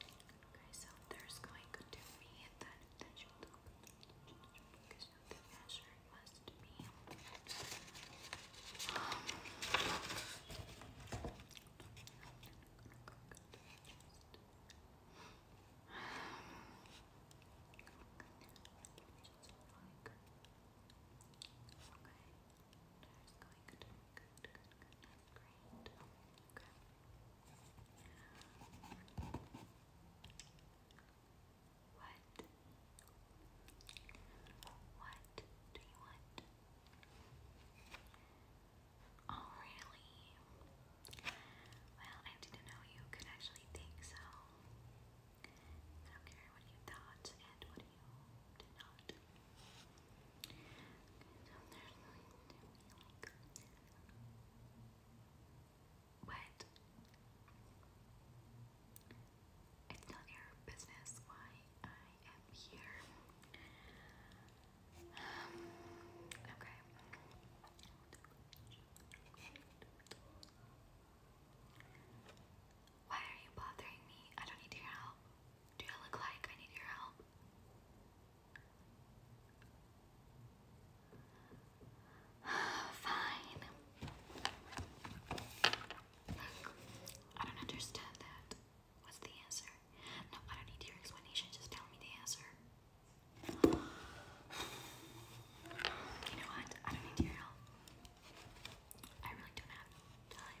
Okay, so there's going to be that attention because the measure must be Okay, um, Going What? What do you want? Oh, really? Well, I didn't know you could actually think so. I don't care what you thought and what you did not. What? It's not your business why I am um, here. okay. Why are you bothering me? I don't need your help. Do I look like I need your help? Fine. I don't understand that. What's the answer? No, I don't need your explanation. Just tell me the answer. You know what? I don't need your help. I really don't have time.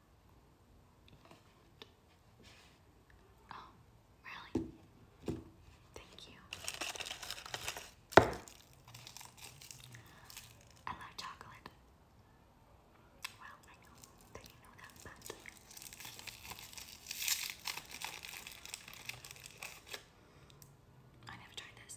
Oh, really? Thank you. I love chocolate. Well, I know that you know that, but. I never tried this.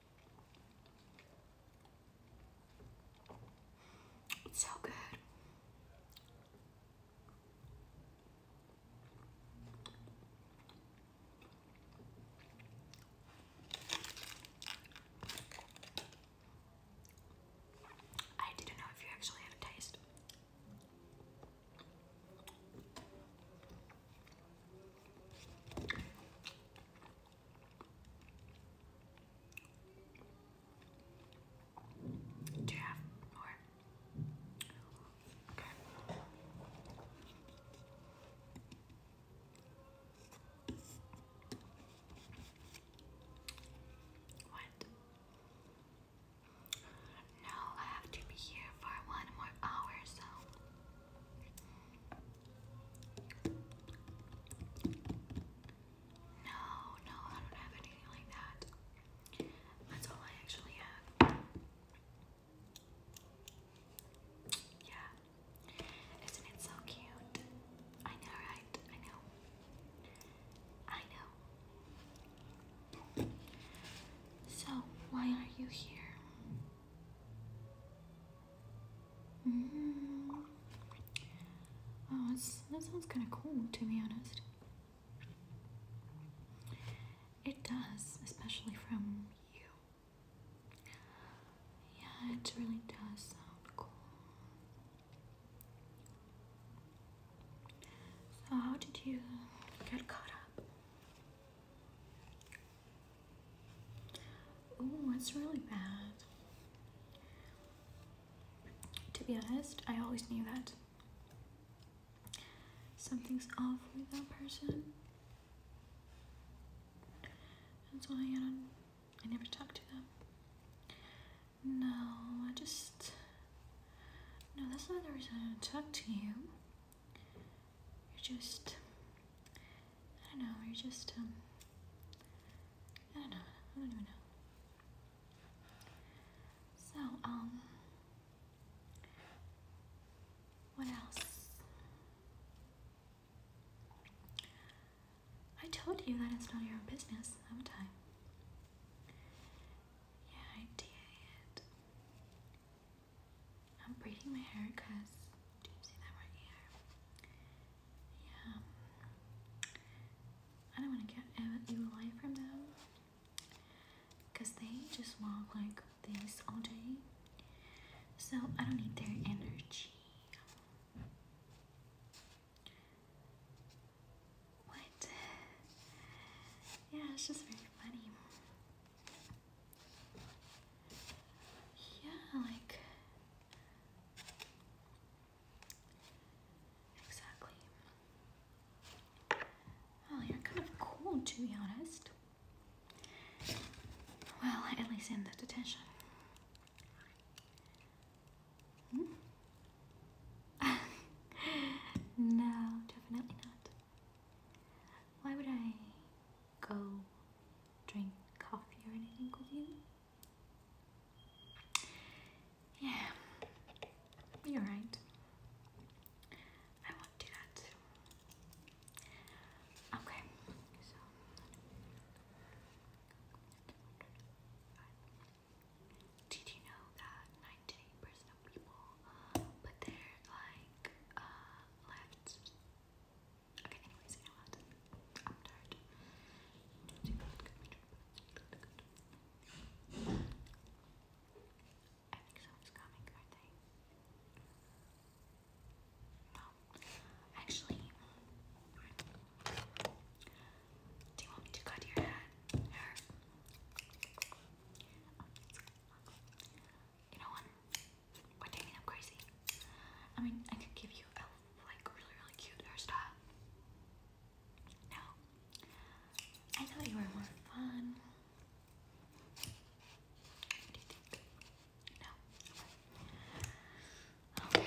It's so good. I didn't know if you actually have taste. Do you more? Okay. What? No, I have to be here for one more hour, so no, no, I don't have anything like that. That's all I actually have. Yeah. Isn't it so cute? I know, right? I know. I know. So, why are you here? -hmm. Oh, that sounds kind of cool, to be honest. It does, especially from you. Yeah, it really does sound cool. So, how did you get caught up? Oh, that's really bad. To be honest, I always knew that. Something's off with that person. That's why I I never talked to them. No, I just No, that's not the reason I don't talk to you. You're just, I don't know, you're just, um, I don't know, I don't even know. So, um, what else? I told you that it's not your business, haven't I? Yeah, I did. I'm braiding my hair because do you see that right here? Yeah. I don't want to get ill light from them because they just walk like this all day. So I don't need their energy. What? Yeah, it's just very funny. Yeah, like exactly. Well, you're kind of cold to be honest. Well, at least in the detention. Hmm? no, definitely not. Why would I go drink coffee or anything with you? Yeah, you're right. I won't do that. Okay, did you know that 98% of people put their like uh left okay anyways I'm tired I think someone's coming No actually do you want me to cut your Hair? You know what? What do you i crazy? I mean, I could give you a like really, really cute hairstyle. No. I thought you were more fun. No. Okay.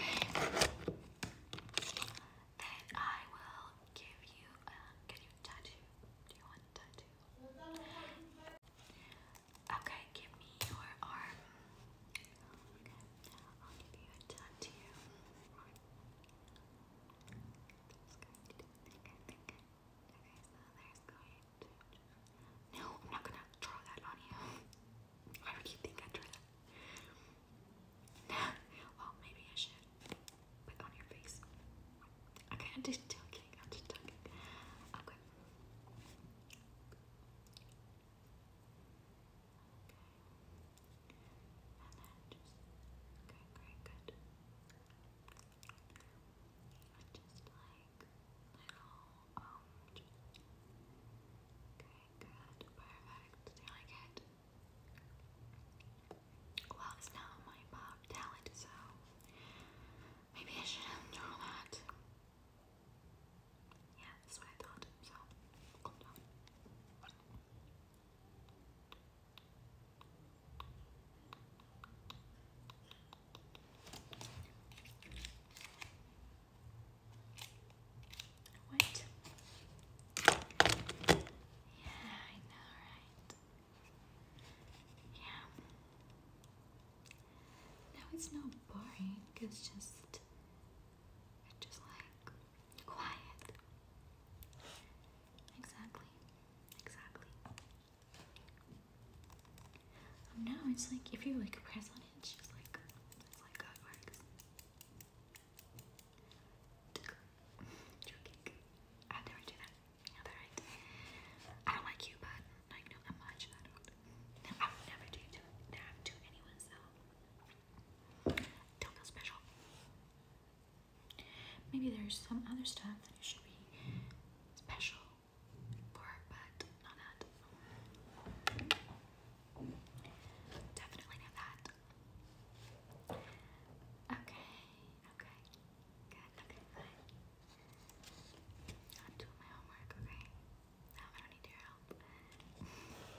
Then I will give you. Uh, um, can you tattoo? Do you want tattoo? Okay, give me your arm. I'll give you a tattoo. No, I'm not gonna draw that on you. Why would you I drew that? well, maybe I should. But on your face. Okay, I'm just joking. I'm just joking. Okay. Okay. And Okay, um, okay good, perfect, I like it. Well, it's not my talent, so maybe I shouldn't that. Yeah, that's what I thought, so yeah, I know, right? Yeah. Now it's not boring, it's just it's just like quiet. Exactly. Exactly. Oh, no, it's like if you like press on it's just like it's like God works. i never do that. Yeah, right. I don't like you, but like no, I'm I don't. I never do to that to anyone. So don't feel special. Maybe there's some other stuff that you should be special Part, but not that. Definitely not that. Okay, okay. Good, okay, fine. I'm doing my homework, okay? No, I don't need your help.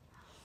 okay, good.